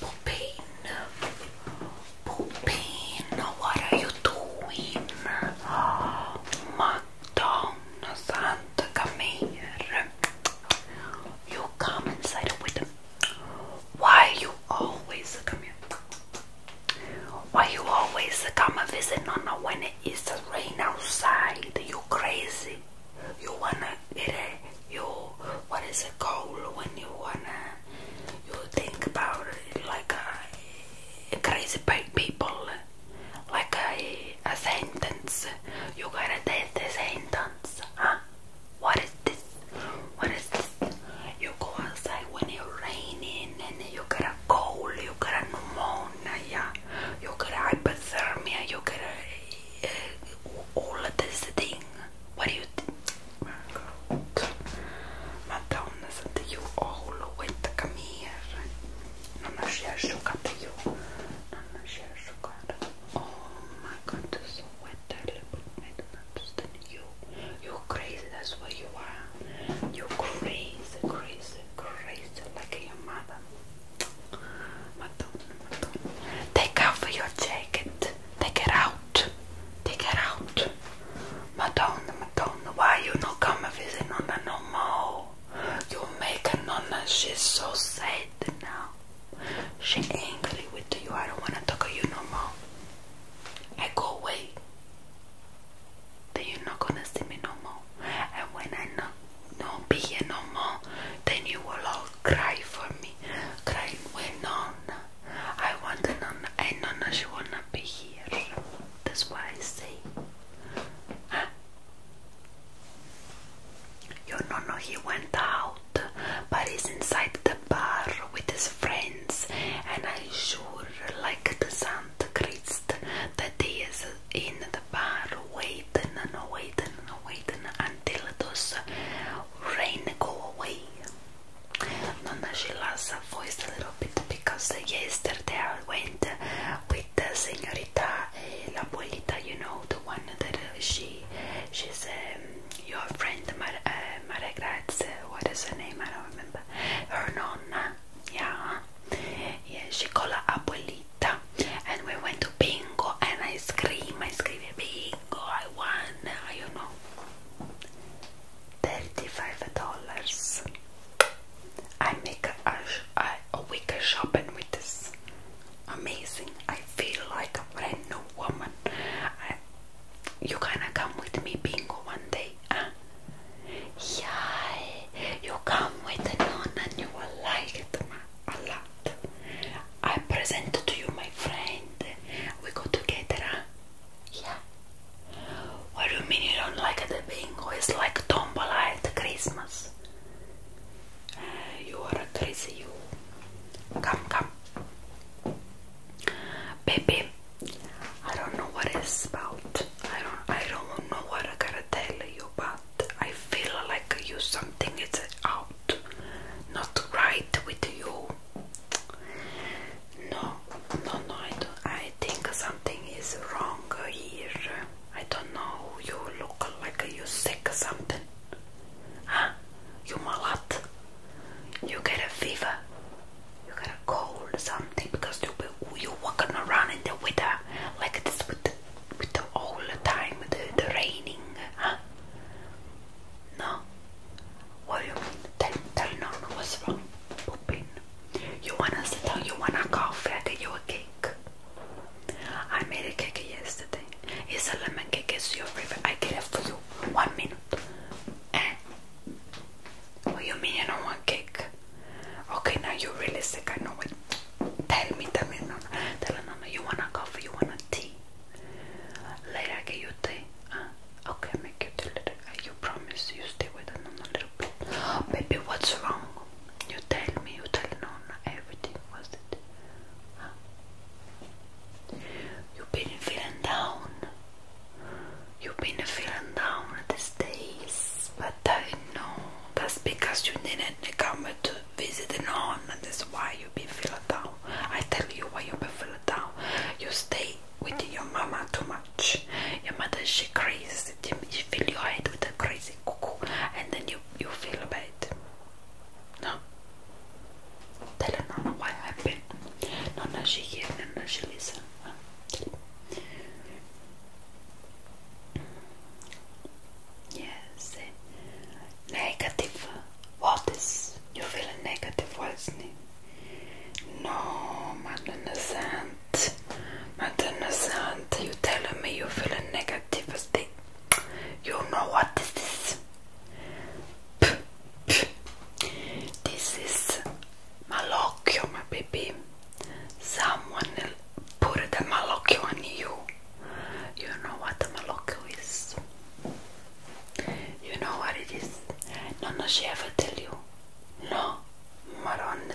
Poppin, Poppin, what are you doing? Madonna Santa, come You come inside with why you always come here? Why you always come and visit Nona when it is rain outside? You crazy? You wanna get a you what is it called when you wanna you think about it like a, crazy people like a, a sentence? You going to take the sentence, huh? What is this? What is this? You go outside when it's raining and then you get a cold, you get a pneumonia, you get a hypothermia, you get a, uh, all of this thing. What do you think? Madonna, senti io ho l'uetta camera. Non riesco a capire. Non riesco a guardare. Oh my god, went early I don't understand you. You're crazy, that's what you are. You're crazy, crazy, crazy, like your mother. Madonna, Madonna. Take off your jacket. Take it out. Take it out. Madonna, Madonna, why you not come visit Nonna no more? You make a Nonna, she's so sad now. She angry with you. I don't wanna talk to you no more. I go away. Then you're not gonna see me no more. And when I not don't be here no more, then you will all cry for me. Crying when Nonna. I want the Nonna. I Nonna she wanna be here. That's why I say. Huh? You know, he went out, but he's inside the bar with his friends, and I sure like the Saint Christ that he is in the bar waiting and waiting and waiting until those rain go away. Nonna her voice a little bit because yesterday I went with the Senorita eh, La Polita, you know, the one that she she's um, your friend Mar uh, uh, what is her name? I don't remember. Her nonna, yeah, yeah. She called her abuelita, and we went to bingo, and I scream, I scream, bingo, I won, I don't know, thirty-five dollars. I make a, a, a week shopping with this amazing. I feel like a brand new woman. I, you gonna come with me bingo one day? Huh? Yeah, you come with the nun and you will like it a lot. I present to you my friend. We go together, huh? Yeah. What do you mean you don't like the bingo? It's like tombola at Christmas you are crazy, you. Come, come. Baby, I don't know what is about. I don't, I don't know what I gotta tell you, but I feel like you something is out, not right with you. No, no, no. I don't. I think something is wrong here. I don't know. You look like you sick or something. Huh? You're malad. you get a fever, you get a cold or something because you you're walking around in the weather like this with the, with all the time the, the raining, huh? No, what do you mean? Tell tell no, what's wrong? You wanna sit down? You wanna coffee? I get you a cake. I made a cake yesterday. It's a lemon cake, it's your favorite. I get it for you. One minute. Eh. Oh, you mean you don't want cake? Okay, now you're really sick, I know it. Tell me, tell me, Tell her, you want a coffee, you want a tea? Later I get ah, Okay, make you tea later. You promise you stay with her, a little bit. Oh, baby, what's wrong? You tell me, you tell Nona. everything, was it? Ah. You've been feeling down. You've been feeling down these days, but I know that's because you didn't come to visit none, and that's why you've been feeling down. I tell you why you've been feeling down. You stay with your mama too much. Your mother she crazy. She fill your head with a crazy cuckoo, and then you you feel bad. No. They do why I've No, no, she hear, no, no, Yes. Negative. What is? You feel negative, wasn't it? No, Madonna Sant. Madonna Sant, you telling me you feel negative as you know what this is? This is malocchio, my baby. Someone put the malocchio on you. You know what the malocchio is? You know what it is? No, no, she ever tell you? No, Maronne,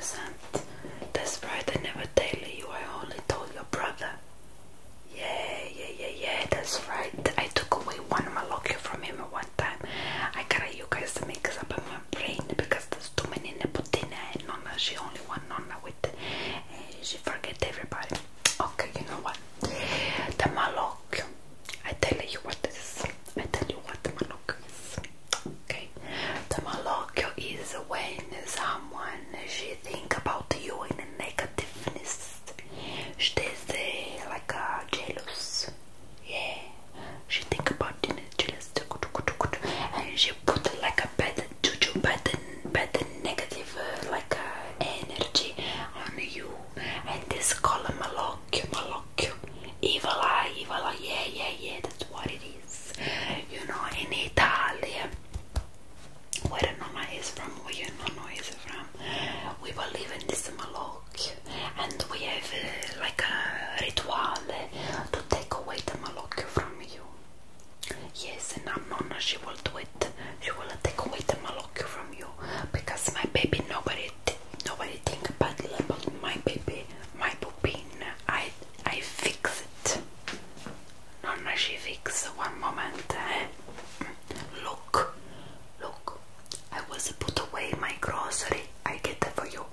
That's right, I never tell you. I only told your brother. Yeah, yeah, yeah, yeah, that's right. I took away one malocchio from him at one time. I gotta you guys mix up in my brain because there's too many nepotina and nonna. She only one nonna with uh, she forget everybody. Okay, you know what? The malocchio. I tell you what this is. I tell you what the malocchio is. Okay. The malocchio is when someone she think about you in negativeness. She is uh, like a jealous. Yeah, she think about it, jealous. And she put like a bad juju, bad, bad negative uh, like uh, energy on you. And this color malocchio, malocchio, evil eye, evil eye. Yeah, yeah, yeah. That's what it is. You know, in Italy where Nona is from, where your Nonna is from. We believe in this malok and we have uh, like a ritual to take away the malok from you. Yes, and Nona am she will do it. She will take away the malok from you because my baby, nobody, nobody think badly about my baby, my pupin. I, I fix it non fix one moment eh? look look I was put away my grocery I get it for you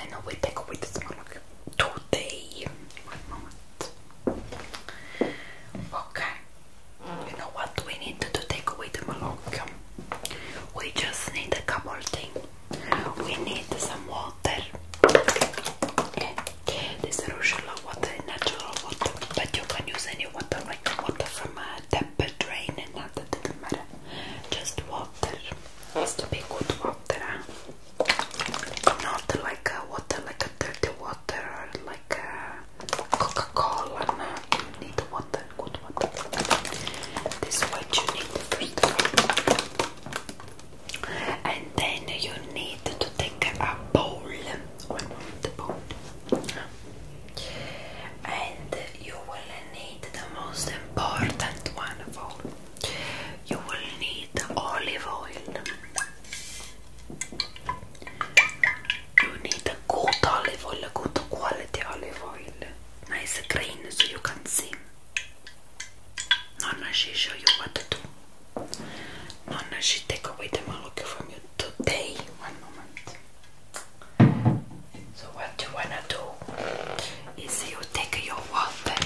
I know we take away this look today one moment okay you know what we need to take away the malocchio we just need a couple things we need some water this is Rochella water, natural water, but you can use any water, like water from a tap, a drain, and that doesn't matter. Just water. Has to be good water, huh? not like a water, like a dirty water, or like Coca-Cola. No, you need water, good water. This way, you need first of And then you need to take a bowl. And you will need the most important one of all. You will need olive oil. You need a good olive oil, good quality olive oil. Nice green so you can see. Nonna, she show you what to do. Nonna should take away the maluka from you today. One moment. So what you wanna do is you take your water.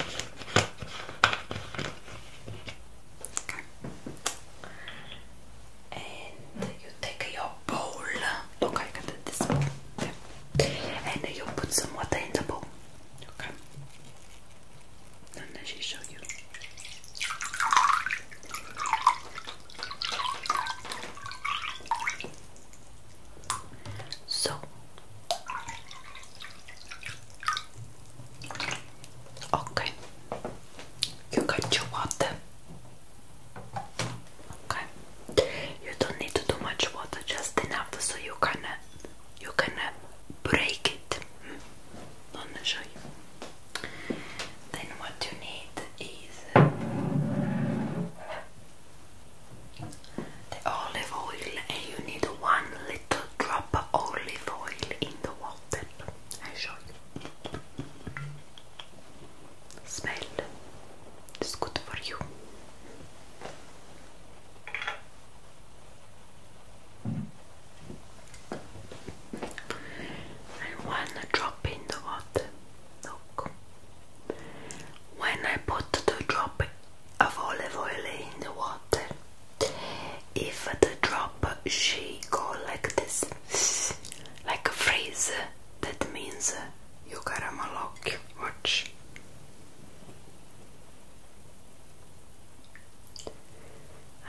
And you take your bowl. Look, I got this bowl. And you put some water in the bowl. Okay and then she show you. So okay, you got your water. Okay, you don't need to do much water, just enough so you can uh, you're gonna break it. I'm gonna show you. Then what you need is the olive oil, and you need one little drop of olive oil in the water. I show you. Smell. It's good for you and one drop in the water. Look. When I put the drop of olive oil in the water, if the drop she go like this, like a freeze, that means you got a caramel Watch.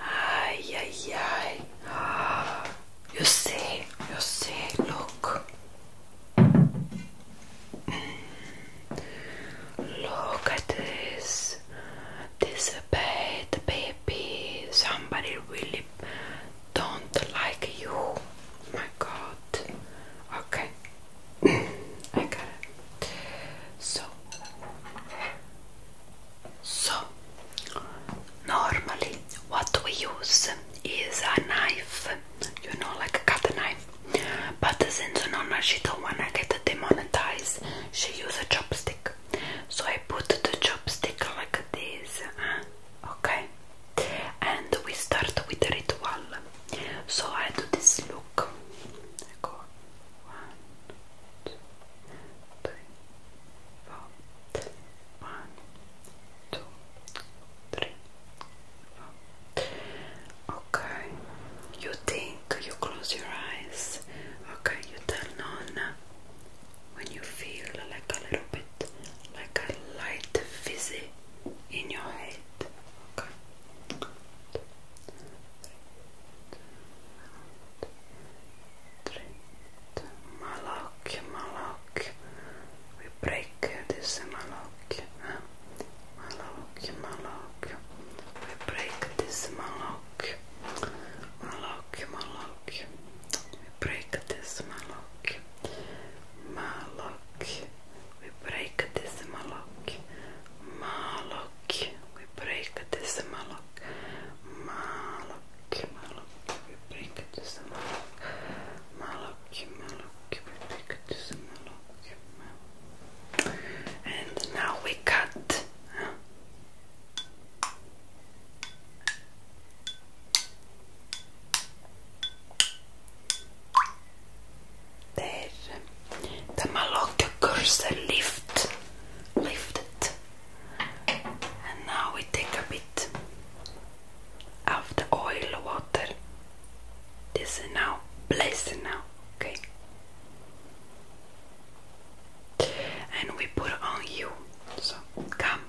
Ay, ay, ay. Oh, you see, you see, look. Mm. Look at this. This bad baby. Somebody really don't like you. My god. Okay. I So so, normally what we use is a knife, you know, like a cut knife. But since Nonna, she don't wanna get demonetized, she used a chopstick. So I put the chopstick like this, okay? And we start with the ritual. So I do this look. I one, two, three, four. One, two, three, four. Okay. You think you close your eyes. Okay, you tell Nonna when you feel like a little bit like a light fizzy in your head. Okay. Malak, malak. We break this malak. Huh? Malak, We break this malak. Malak, malak. We break this malak. Malak. We break this malak. Malak malok. Vi projekate se malok. Malok, malok. Vi projekate se malok. Malok, malok. Vi projekate se malok. malok. And now we cut. There the Malocca cursor lift, lifted, and now we take a bit of the oil water. This is now blessed now, okay? And we put on you. So come,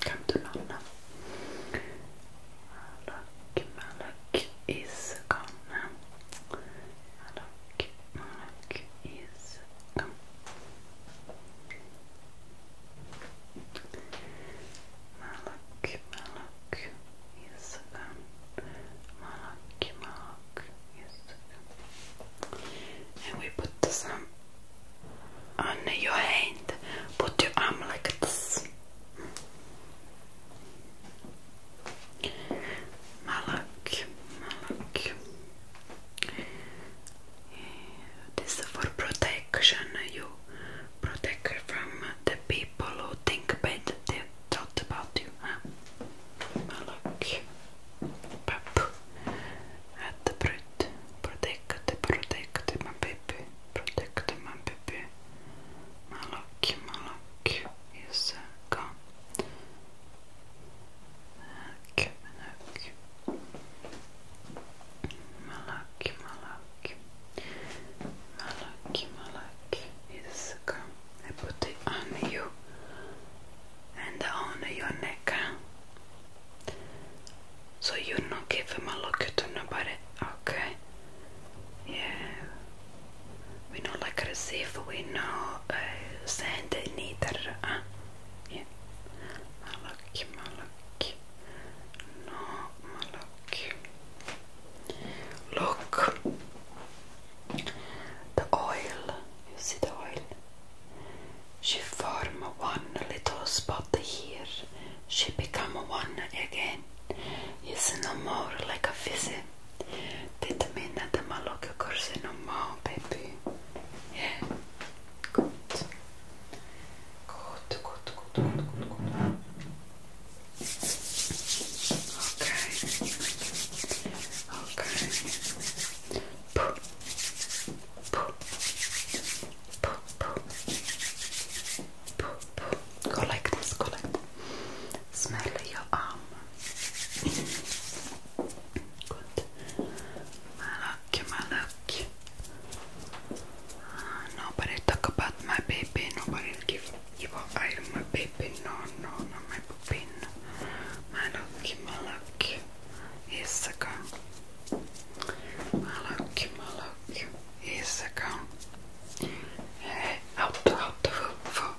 come to London. Malak, Malak is gone. Malak, Malak is come. Malak, Malak is come. Malak, Malak is come. And we put some on your hand. Put your arm like this. Malak, Malak. This is for protection. You protect from the people who think bad they thought about you. Huh? Malak, Pap. At the bread. Protect, protect my baby. Protect my baby. Malak, Malak. Yes kan. Melek, melek. Malak, is come. I put it on you and on your neck. So you don't give a malak to nobody, okay? Yeah, we know like receive, we know uh, send neither. Uh, yeah. Malok, malok. No, malok. Look, the oil. You see the oil. She form one little spot here. She become one again. It's no more like a visit. Tenta mig när det maloka kursen om mom, baby. Yeah. Good. Good, good, good, good, good, Okay. Okay. Poo. Poo. Poo, poo. Poo, poo. Go like this, go like Smell your arm. Good. My look, my look. talk about my baby. Nobody give give up. my baby. No, no, no, my baby. No. My look, my go. My look, my look. go. Hey, out, out, out, out.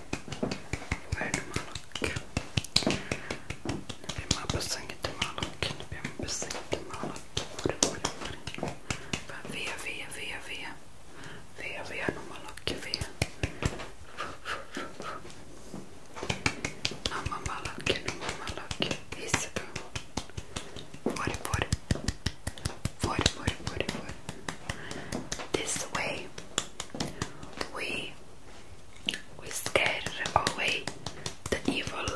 Vad är det malak? Nu blir man bussen inte malak. Nu blir man bussen inte malak. V, V, V, V. V, V är nog malak. V. Mamma malak. Mamma malak. Hissebo. Får, får. Får, får, får, får. This way. We we scare away the evil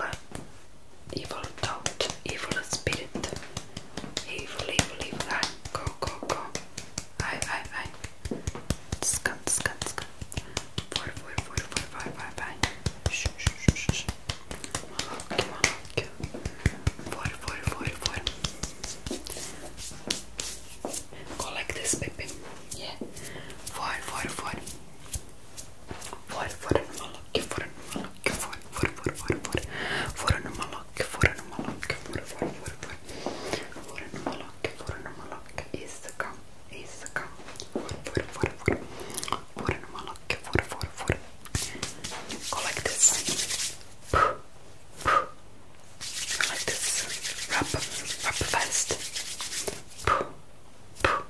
evil thought, evil spirit. Evil, evil, evil. I go go go. I I I scan scan scan. For for for for for for for. Shh shh shh shh. Malak malak. For for for for. Go like this, baby. Yeah. Forward, forward, forward. Forward, forward, malak, forward, malak, forward, forward, forward, forward, forward, malak, forward, malak, forward, forward, forward, forward, malak, forward, malak, is the gum, is the gum. Forward, forward, forward, forward, forward, malak, forward, forward, forward. Go like this. Puh, puh, like this wrap, wrap fast poo, poo.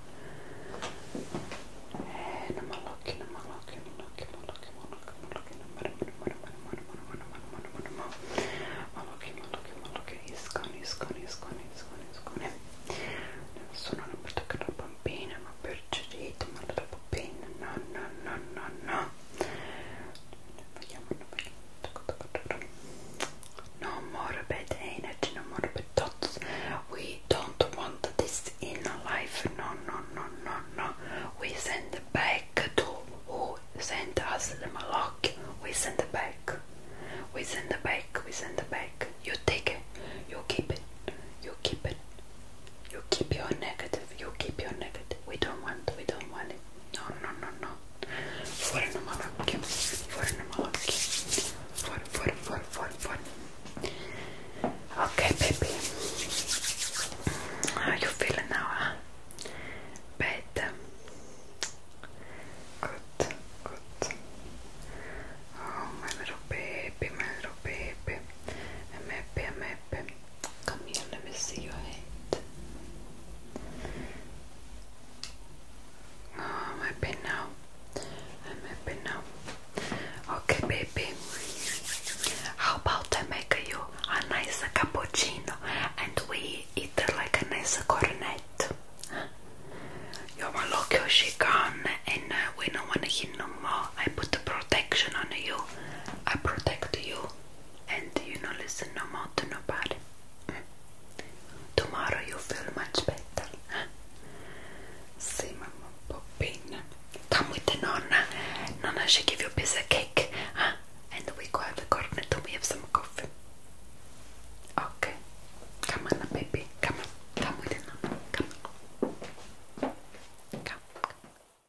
Sono una piccola bambina, ma per cerito, ma la bambina, no, no, no, no, no. No morbid energy, no morbid thoughts. We don't want this in life. No, no, no, no, no. We send back to who sent us the malak. We send back. We send back. We send back. You take it. You keep it. You keep it. You keep your negative, you keep your negative. We don't want, we don't want it. No, no, no, no. For Namalaki, for Namalaki, for, Okay, baby. How you feeling now, Better. Um, good, good. Oh, my little baby, my little baby. I'm Come here, let me see your head. Oh, my pen now. And my pen now. Okay, baby. How about I make you a nice cappuccino and we eat like a nice cornet? You're my loco, she and uh, we don't want to hear no more. I put the protection on you. I protect you and you know, listen no more to nobody. Tomorrow you feel much better. See, Mama Poppina. Come with the Nonna. Nonna, she give you a piece of cake. Huh? And we go at the corner to we have some coffee. Okay. Come on, baby. Come on. Come with the Nonna. Come on. Come.